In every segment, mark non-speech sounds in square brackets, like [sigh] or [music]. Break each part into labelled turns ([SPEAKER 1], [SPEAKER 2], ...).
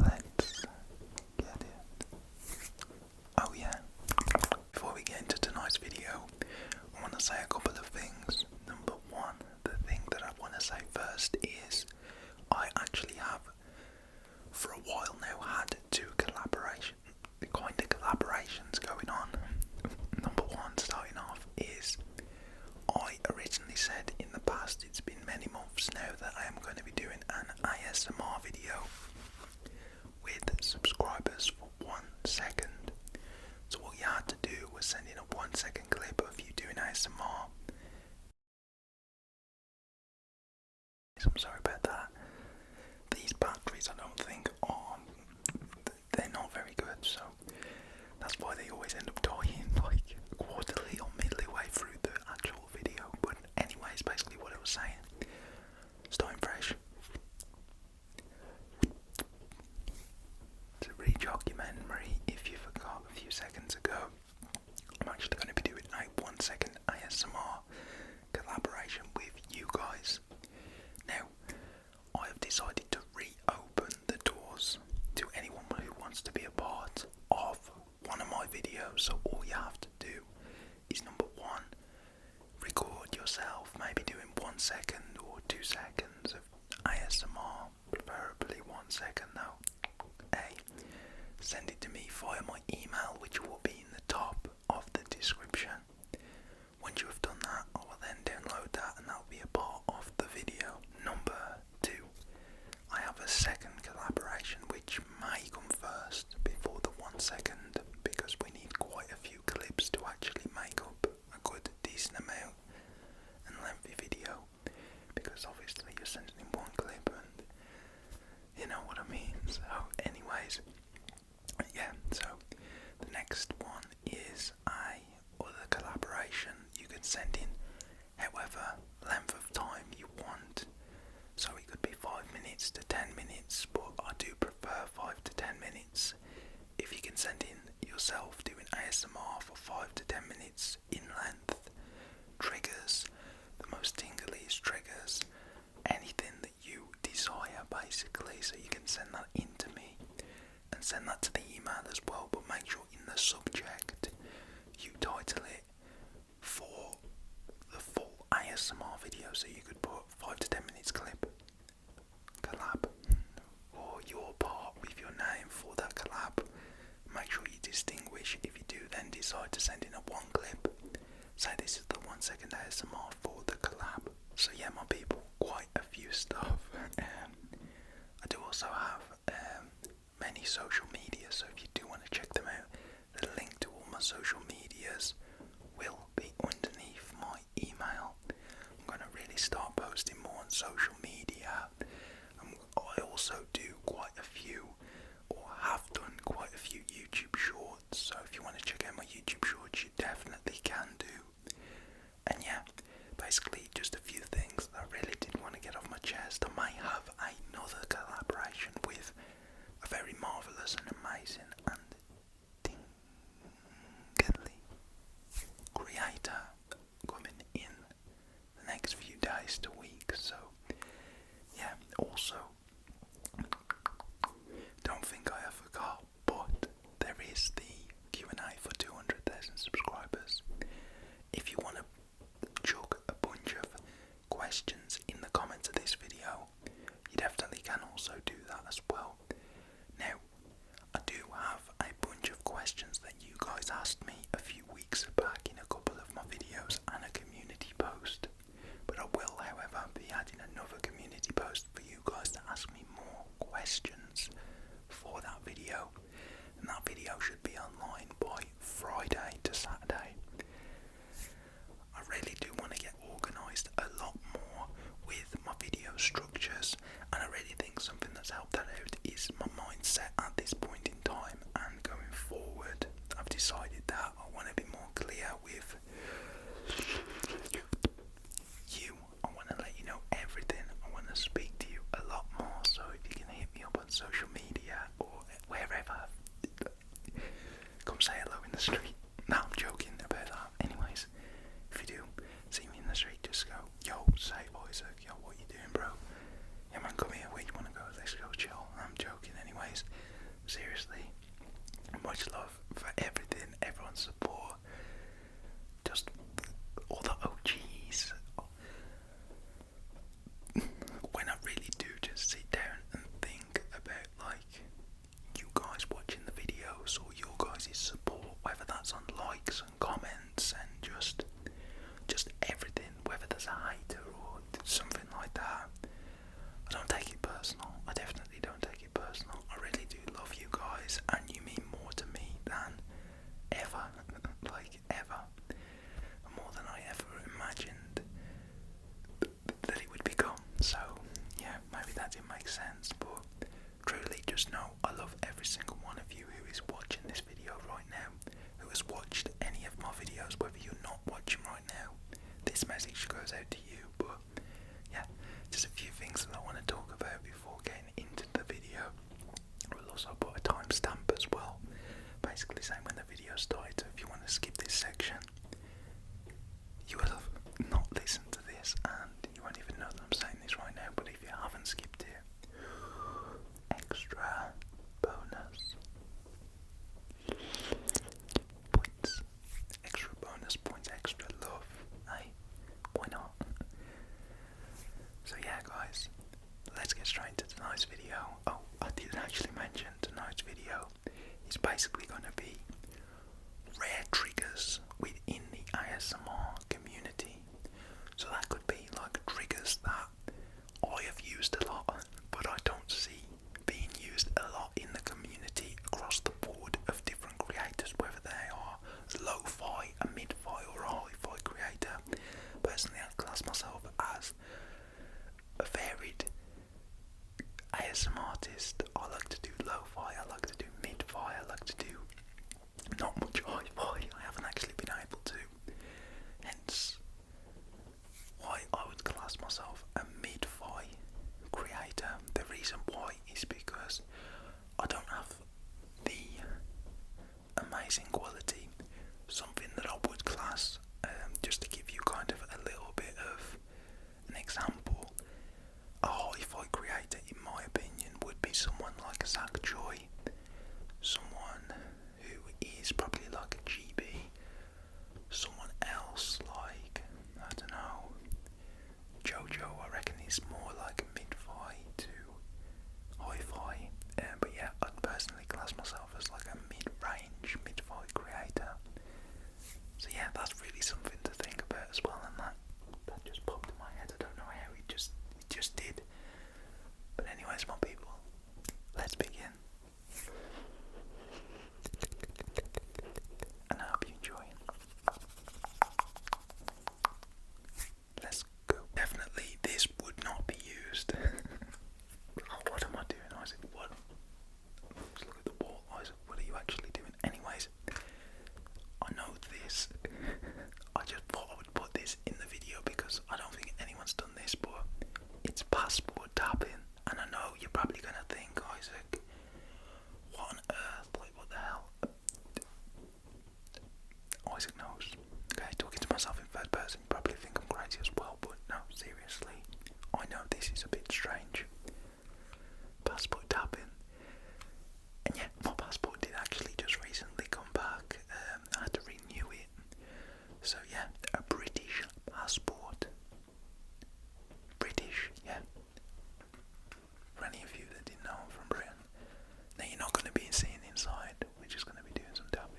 [SPEAKER 1] Let's get it. Oh, yeah. Before we get into tonight's video, I want to say a couple of things. Number one, the thing that I want to say first is I actually have, for a while now, had two collaboration, kind of collaborations going on. Number one, starting off, is I originally said in the past it's been many months now that I am going to be doing an ISMR video with subscribers for one second. So, what you had to do was send in a one second clip of you doing ISMR. I'm sorry about that. These batteries, I don't think, are. They're not very good, so that's why they always end up dying [laughs] like quarterly or midway through the actual video, but anyways, basically what I was saying, starting fresh. It's a re-documentary. If you forgot a few seconds ago, I'm actually going to be doing a one-second ASMR collaboration with you guys. Now, I have decided to reopen the doors to anyone who wants to be a part of one of my videos. So all you have to do is number one, record yourself, maybe doing one second or two seconds of ASMR, preferably one second though. A, send it to me via my email, which will be in the top of the description. Once you have done that, I will then download that and that will be a part of the video. Number two, I have a second collaboration which may come first before the one second because we need quite a few clips to actually make up a good decent amount and lengthy video because obviously you're sending in one clip and you know what I mean. So, anyways, yeah, so the next one is a other collaboration. You can send in however length of time you want. So it could be 5 minutes to 10 minutes, but I do prefer 5 to 10 minutes. If you can send in yourself doing ASMR for 5 to 10 minutes in length, triggers, the most tingliest triggers, anything that you desire basically, so you can send that in to me and send that to the email as well, but make sure in the subject you title it for the full ASMR video, so you could put five to ten minutes clip collab or your part with your name for that collab. Make sure you distinguish. If you do, then decide to send in a one clip. Say this is the one second ASMR for the collab. So yeah, my people, quite a few stuff. [laughs] Um, I do also have um, many social media, so if you do want to check them out, the link to all my social medias will be underneath my email. I'm going to really start posting more on social media. i um, I also do quite a few, or have done quite a few YouTube shorts, so if you want to check out my YouTube shorts, you definitely can do. And yeah, basically just a few things I really did not want to get off my chest. I might have another collaboration with a very marvellous and amazing and tingly creator coming in the next few days to week. So, yeah, also, don't think I ever got, but there is the Q&A for 200,000 subscribers. If you want to chuck a bunch of questions in the comments of this video, you definitely can also do that as well. Now, I do have a bunch of questions that you guys asked me a few weeks back in a couple of my videos and a community post, but I will, however, be adding another community post for you guys to ask me more questions for that video, and that video should be online by Friday to Saturday. I really do want to get organised a lot more with my video structures, and I really think something that's helped that out is my mindset at this point in time and going forward. I've decided that I want to be more clear with you. I want to let you know everything. I want to speak to you a lot more. So if you can hit me up on social media or wherever, come say hello in the street. No, I'm joking about that. Anyways, if you do see me in the street, just go, yo, say Isaac, yo, what you doing, bro? come here. Where you want to go? Let's go chill. I'm joking. Anyways, seriously, much love for everything, everyone's support, just all the OGs when I really do just sit down and think about like you guys watching the videos or your guys' support, whether that's on likes and comments and just just everything, whether there's a hater or something like that. I don't take it personal. I definitely don't take it personal. I really do love you guys and you mean more to me than ever. [laughs] like ever, more than I ever imagined that it would become. So yeah, maybe that didn't make sense, but truly just know I love every single one of you who is watching this video right now, who has watched any of my videos, whether you're not watching right now. This message goes out to you, but yeah, just a few things that I want to talk about before getting into the video. We'll also put a timestamp as well, basically saying when the video started. So if you want to skip this section, you will have not listened to this, and you won't even know that I'm saying this right now. But if you haven't skipped it, extra bonus points, extra bonus points, extra love. Hey, why not? So yeah guys, let's get straight into tonight's video. Oh, I didn't actually mention tonight's video It's basically going to be rare triggers within the ASMR community. So that could be like triggers that I have used a lot, but I don't see being used a lot in the community across the board of different creators, whether they are lo-fi, a mid-fi or high-fi creator, Personally, I class myself as a varied an artist. I like to do low fi like to do mid-fi, I like to do not much high fi I haven't actually been able to, hence why I would class myself a mid-fi creator. The reason why is because I don't have the amazing quality, something that I would class, um, just to give you kind of a little bit of an example, a hi-fi creator in my opinion would be someone like Zach Joy, someone who is probably like a GB, someone else like, I don't know, Jojo I reckon is more like mid-fi to hi-fi, um, but yeah, I'd personally class myself as like a mid-range, mid-fi creator. So yeah, that's really something to think about as well, and that that just popped in my head. I don't know how we just just did. But anyways, my people, let's begin. And I hope you enjoy. Let's go. Definitely, this would not be used. [laughs] Oh, what am I doing, Isaac? What? look at the wall, Isaac. What are you actually doing? Anyways, I know this. [laughs] I just thought I would put this in the video because I don't think anyone's done this, but it's passport tapping. And I know you're probably gonna think, Isaac, what on earth? Like, what the hell? Oh, Isaac knows. Okay, talking to myself in third person, you probably think I'm crazy as well, but no, seriously, I know this is a bit strange. Passport tapping. And yeah, my passport did actually just recently come back. Um, I had to renew it. So yeah, a British passport. British, yeah for any of you that didn't know I'm from Britain, now you're not going to be seen inside. We're just going to be doing some tapping.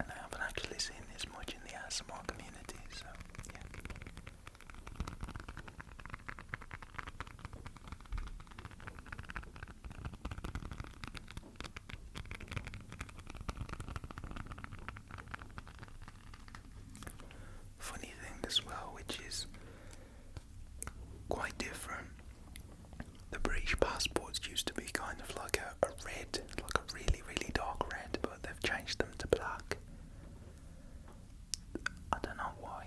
[SPEAKER 1] And I haven't actually seen this much in the ASMR community, so yeah funny thing as well, which is quite different. The British passports used to be kind of like a, a red, like a really, really dark red, but they've changed them to black. I don't know why.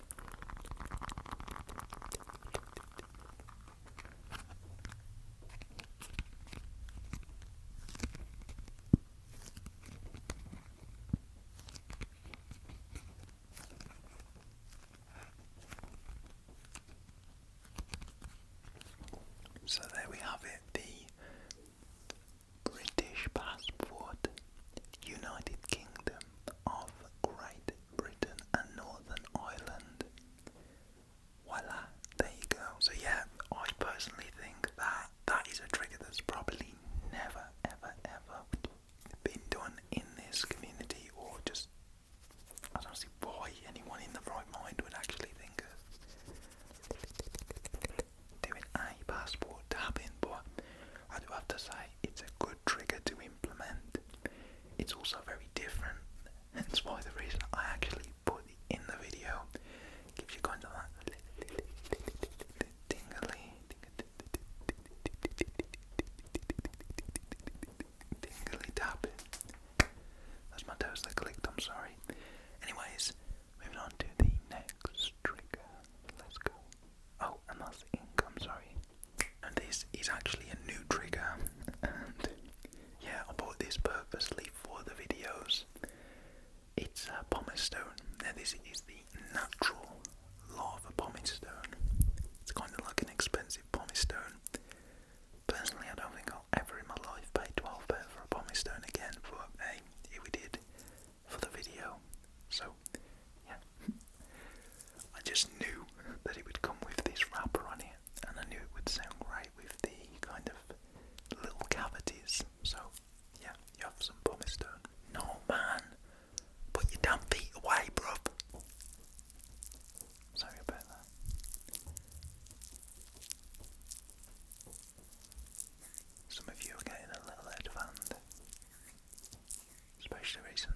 [SPEAKER 1] So there we have it, the British passport, United Kingdom of Great Britain and Northern Ireland. Voila, there you go. So yeah, I personally think that that is a trigger that's probably never, ever, ever been done in this community, or just I don't see why anyone in the right mind would actually think of doing a passport tapping. But I do have to say, it's a good trigger to implement. It's also very different, that's why the reason I actually put it in the video gives you kind of that tingly, tingly tap. That's my toes that clicked, I'm sorry. Anyways, moving on to the next trigger. Let's go. Oh, and that's ink, I'm sorry. And This is actually a new trigger, and yeah, I bought this purposely for the videos. It's a pumice stone. Now, this is the natural lava pumice stone. It's kind of like an expensive pumice stone. Personally, I don't think I'll ever in my life pay £12 for a pumice stone again, but hey, here we did for the video. So yeah. [laughs] I just knew that it would come with this wrapper on it, and I knew it would sound right with the kind of little cavities. So, yeah, you have some pumice stone. No, man, put your damn feet away, bruv. Sorry about that. Some of you are getting a little out of especially recently.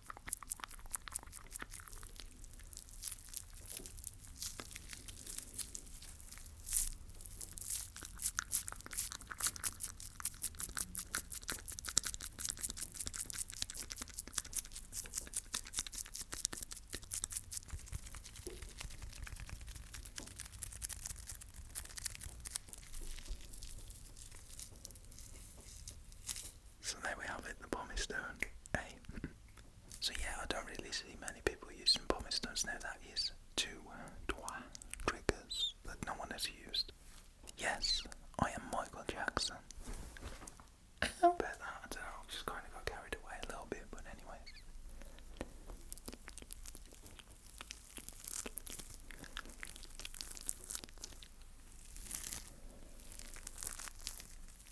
[SPEAKER 1] So there we have it, the bomb is stone. Hey. So yeah, I don't really see many people using pumice now. That is two uh, triggers that no one has used. Yes, I am Michael Jackson. I bet that, I don't know, just kind of got carried away a little bit, but anyways.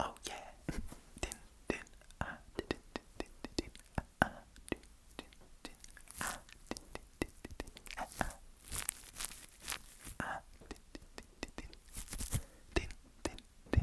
[SPEAKER 1] Oh yeah. Din din ah din din din din ah din din din ah din din din din ah ah din din din din din din din din din din.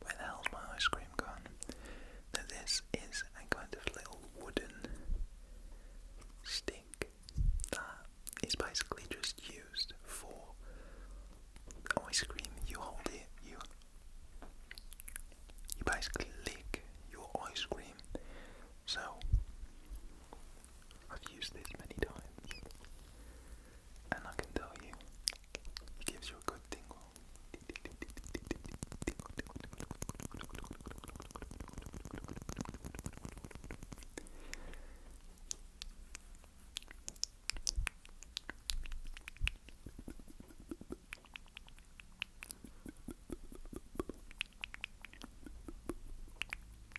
[SPEAKER 1] Where the my ice cream gone? Now this is a kind of little wooden stick that is basically just used for ice cream. You hold it, you you basically lick your ice cream. So I've used this many times, and I can tell you, it gives you a good tingle.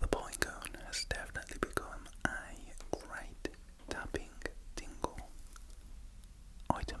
[SPEAKER 1] the bowling cone has definitely become a great tapping tingle item.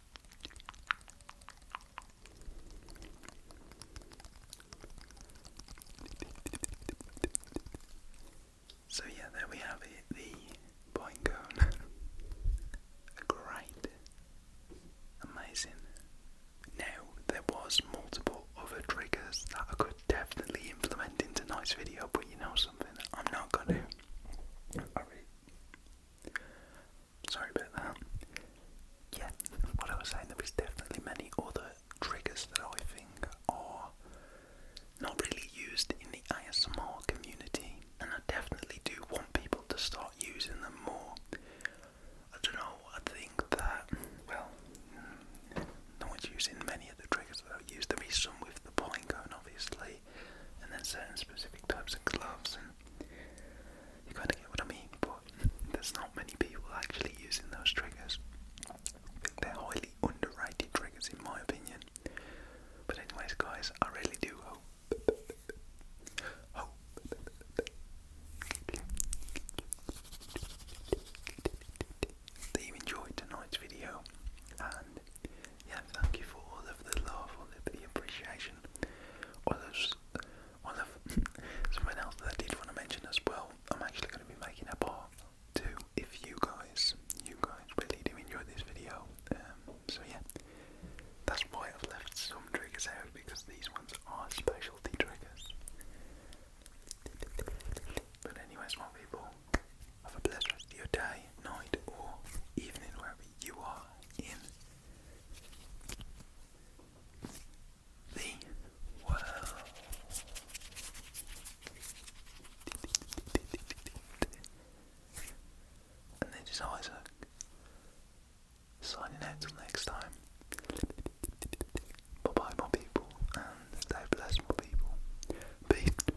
[SPEAKER 1] So, yeah, there we have it the point cone. [laughs] great, amazing. Now, there was multiple other triggers that I could definitely implement in tonight's video, but you know something, I'm not gonna. Sorry about that. Yeah, what I was saying, there definitely many other triggers that I think are not really used in the ASMR community, and I definitely do want people to start using them more. I don't know, I think that, well, no one's using many of the triggers that I use. There is some with the point gun, obviously, and then certain specific types of gloves, and you kind of get what I mean. But [laughs] there's not many people actually using those triggers. They're highly underrated triggers, in my opinion. But anyways, guys, I really do hope, [laughs] hope that you enjoyed tonight's video, and yeah, thank you for all of the love, all of the appreciation, all of, all of [laughs] something else that I did want to mention as well. I'm actually going to be making a part two if you guys, you guys really do enjoy this video. Um, so yeah, that's why I've left some triggers out because these ones are specialty triggers. But anyways, my people, have a blessed your day, night, or evening, wherever you are in the world. And this is Isaac signing out till next time. Bye bye, more people, and stay blessed, more people. Peace.